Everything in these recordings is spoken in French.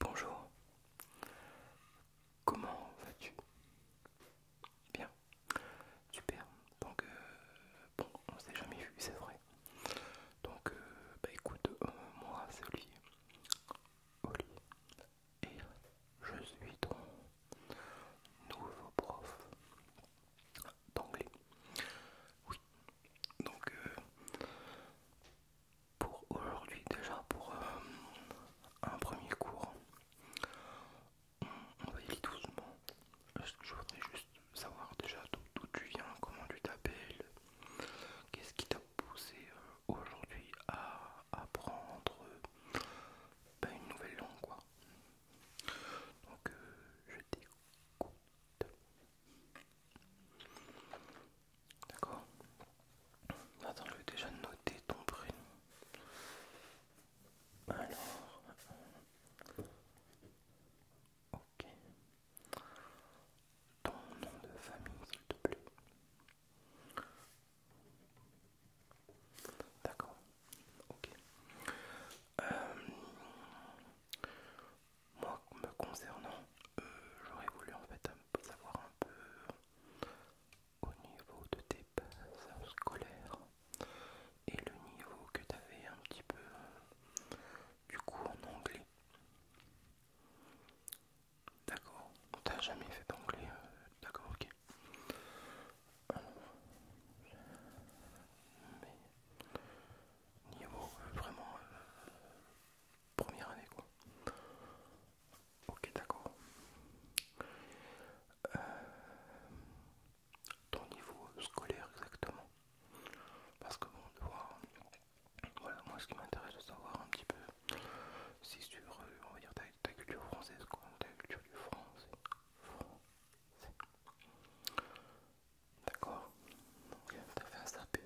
Bonjour, comment vas-tu Bien, super, donc euh, bon, on s'est jamais vu, c'est vrai. Donc, euh, bah écoute, euh, moi c'est Olivier et je suis ton nouveau prof d'anglais. Oui, donc euh, pour aujourd'hui déjà pour euh, un premier cours, on va y aller doucement. Je voudrais juste savoir déjà d'où tu viens, comment tu t'appelles, qu'est-ce qui t'a poussé euh, aujourd'hui à apprendre ben, une nouvelle langue quoi. Donc euh, je t'écoute. D'accord Attends, je vais déjà noter ton prénom. Alors... Euh, ok. Ton nom de famille, s'il te plaît. D'accord. Ok. Euh, moi, me concernant, euh, j'aurais voulu en fait savoir un peu au niveau de tes passes scolaires et le niveau que tu avais un petit peu euh, du coup en anglais. D'accord, t'as jamais fait d'anglais, euh, d'accord, ok. niveau euh, vraiment euh, première année quoi. Ok, d'accord. ton niveau scolaire exactement. Parce que bon, de voir, voilà, moi ce qui m'intéresse, de savoir un petit peu si tu euh, on va dire, ta, culture française, ta culture du français. D'accord Donc, euh, t'as fait un sapé.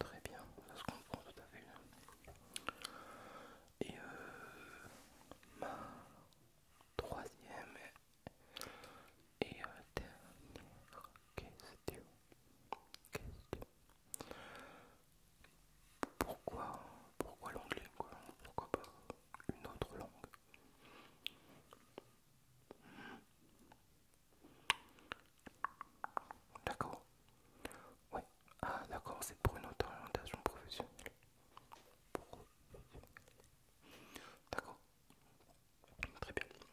Très bien, ça se comprend tout à fait. Et euh, ma troisième et dernière Question pourquoi, pourquoi l'anglais quoi Pourquoi pas une autre langue D'accord. Oui. Ah d'accord, c'est pour une autre orientation professionnelle. D'accord. Très bien. dit.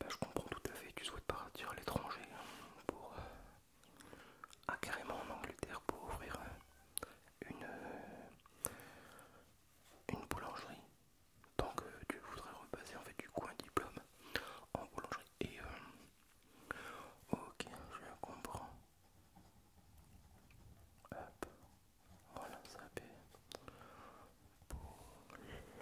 Ben, je comprends tout à fait, tu souhaites partir à l'étranger pour, euh, à ah, carrément en Angleterre pour ouvrir une, euh, une boulangerie. Donc tu euh, voudrais repasser en fait du coup un diplôme en boulangerie. Et euh, ok, je comprends. Hop, voilà, ça fait boulangerie.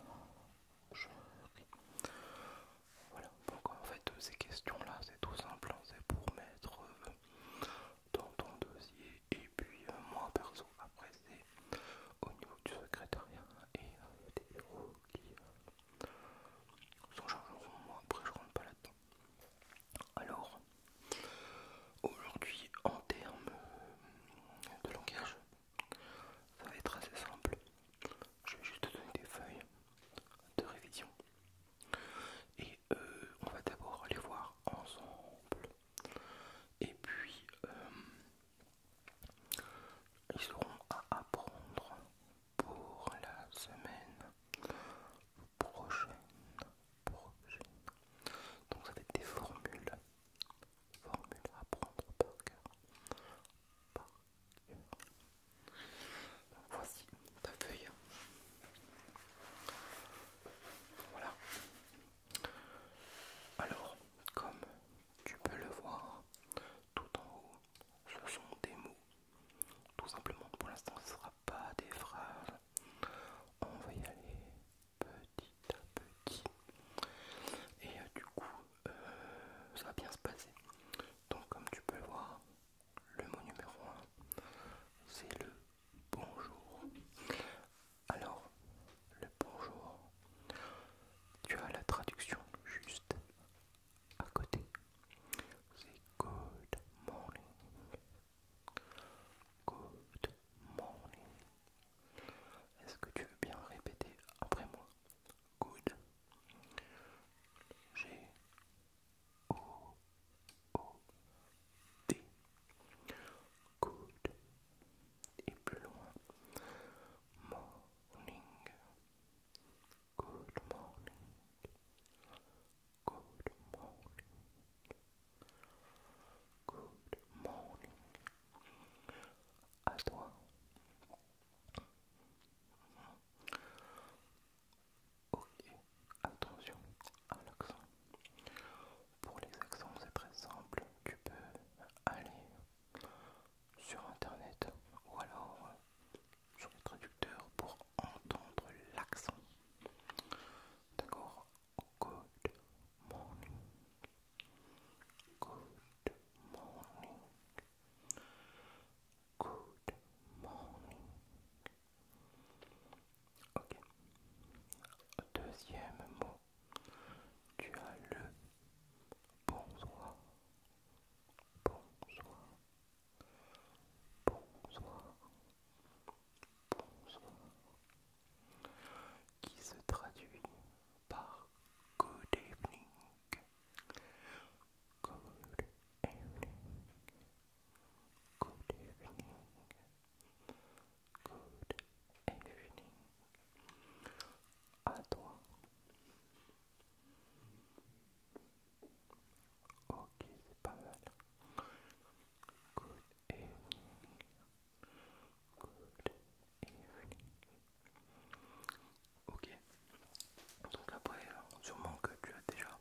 Voilà, donc en fait euh, ces questions-là, c'est tout simple, hein, c'est pour mettre euh, dans ton dossier. Et puis euh, moi perso, après c'est au niveau du secrétariat et des héros qui sont s'en Moi après je rentre pas là-dedans. Alors, aujourd'hui en termes de langage, ça va être assez simple. Je vais juste te donner des feuilles de révision et euh, on va d'abord les voir ensemble. Et puis, euh, ils auront à apprendre pour la semaine prochaine. Donc ça va être des formules. à prendre Voici ta feuille. Voilà. Alors, comme tu peux le voir, tout en haut, ce sont des mots. Tout simplement, pour l'instant, ce ne sera pas des phrases. On va y aller petit à petit. Et euh, du coup, euh, ça va bien se passer. Donc, comme tu peux le voir, le mot numéro 1, c'est le bonjour. Alors, le bonjour, tu as la traduction juste à côté. C'est good morning. Good morning. Est-ce que tu veux bien répéter après moi Good. J'ai O O D. Good. Et plus Morning. Good morning. Good morning. Good morning. À toi. Ok, attention à l'accent. Pour les accents, c'est très simple. Tu peux aller sur internet ou alors sur le traducteur pour entendre l'accent. D'accord Good morning. Good morning. Good morning. Ok. Deuxième mot. Tu as le bonsoir. Bonsoir. Bonsoir. Bonsoir. Qui se traduit par good evening. Good evening. Good evening. Good evening. À toi. Ok, c'est pas mal. Good evening. Good evening. Ok. Donc après, hein, sûrement que tu as déjà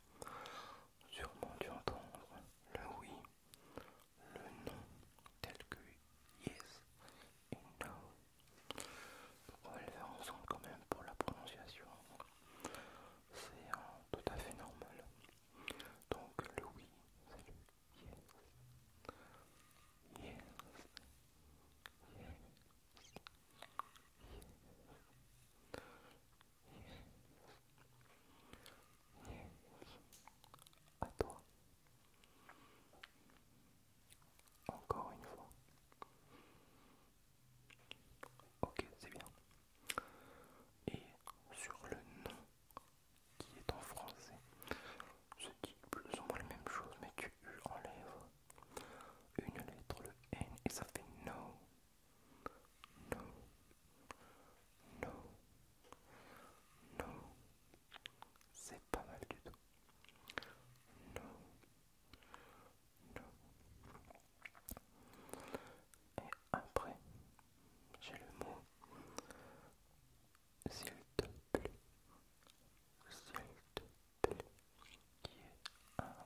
sûrement dû entendre le oui, le non, tel que yes et no. On va le faire ensemble quand même pour la prononciation. C'est tout à fait normal. Donc le oui, c'est le Yes. Yes. Yes yes, à toi. Encore une fois. Ok, c'est bien. Et sur le nom qui est en français, je dis plus ou moins la même chose, mais tu enlèves une lettre, le N, et ça fait no. Non, non, non, c'est pas mal du tout. non, non. Et après, j'ai le mot s'il te plaît, s'il te qui est un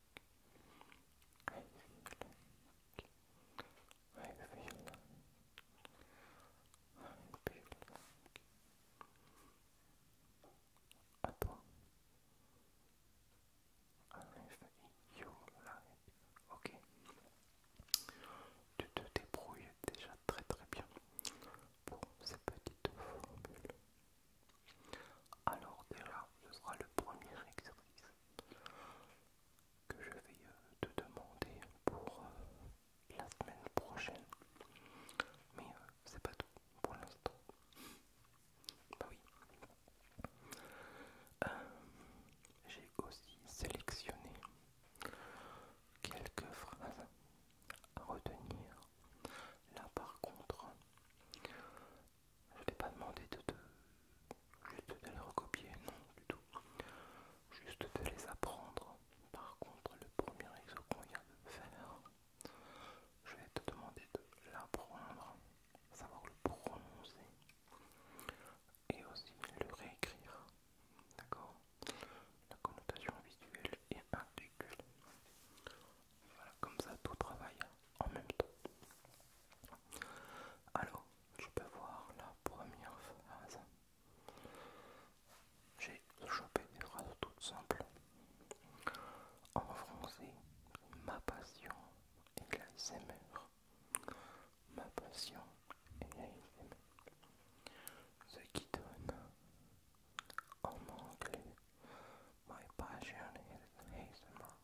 I feel I feel I feel toi. Ok. Tu te débrouilles déjà très très bien pour ces petites formules. Alors déjà, ce sera le premier exercice que je vais euh, te demander pour euh, la semaine prochaine. Mais euh, c'est pas tout pour l'instant. Bah oui. J'ai aussi sélectionné quelques phrases à retenir. Là par contre, je ne t'ai pas demandé de juste de les recopier, non du tout. Juste de les apprendre. Par contre, le premier exo qu'on vient de faire, je vais te demander de l'apprendre, savoir le prononcer et aussi le réécrire. D'accord La connotation visuelle est articule. Voilà, comme ça tout travaille en même temps. Alors, tu peux voir la première phase. J'ai chopé des phrases toutes simples. En français, ma passion est la mère Ma passion est la Ce qui donne en anglais My passion is ASMR.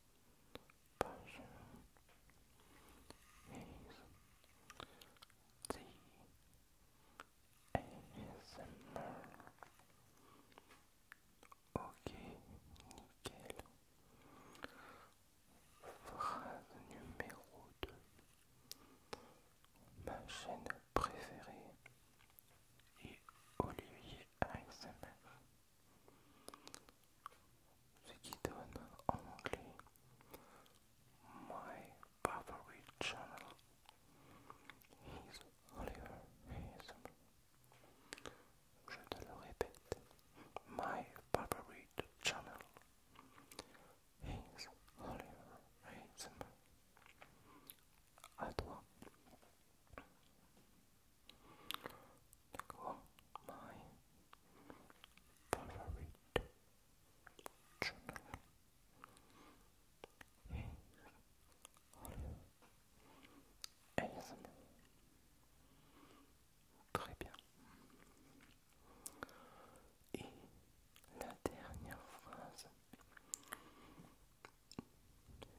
Page version is the ASMR. Ok, nickel. Phrase numéro 2. Ma chaîne préférée est Olivier ASMR. ce qui donne en My favorite channel is Oliver ASM. Je te My favorite channel is Oliver ASM. D'accord My favorite journal is ASMR. Très bien. Et la dernière phrase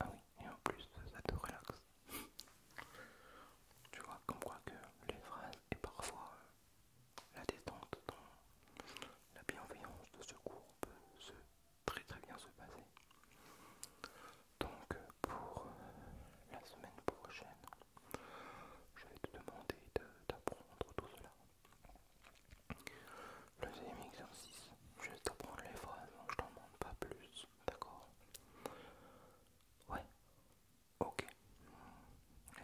Ah oui, et en plus ça te relaxe. tu vois, comme quoi que les phrases et parfois euh, la détente dans la bienveillance de ce cours peut se très très bien se passer. Donc euh, pour euh, la semaine prochaine, je vais te demander d'apprendre tout cela. Le deuxième exercice, je vais t'apprendre les phrases, je t'en demande pas plus, d'accord Ouais, ok.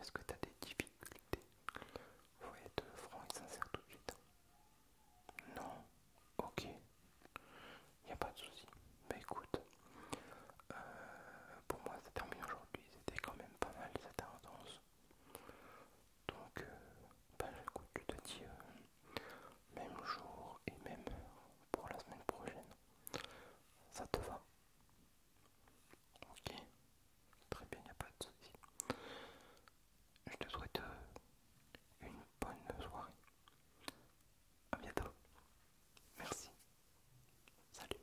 Est-ce que tu as des difficultés Faut être franc et sincère tout de suite. Hein. Non, ok. Y a pas de souci. Bah écoute, euh, pour moi ça termine aujourd'hui. C'était quand même pas mal, les intense. Donc, euh, bah, écoute, tu te dis euh, même jour et même heure pour la semaine prochaine. Ça te va Ok, très bien, il n'y a pas de soucis. Je te souhaite euh, une bonne soirée. A bientôt. Merci. Salut.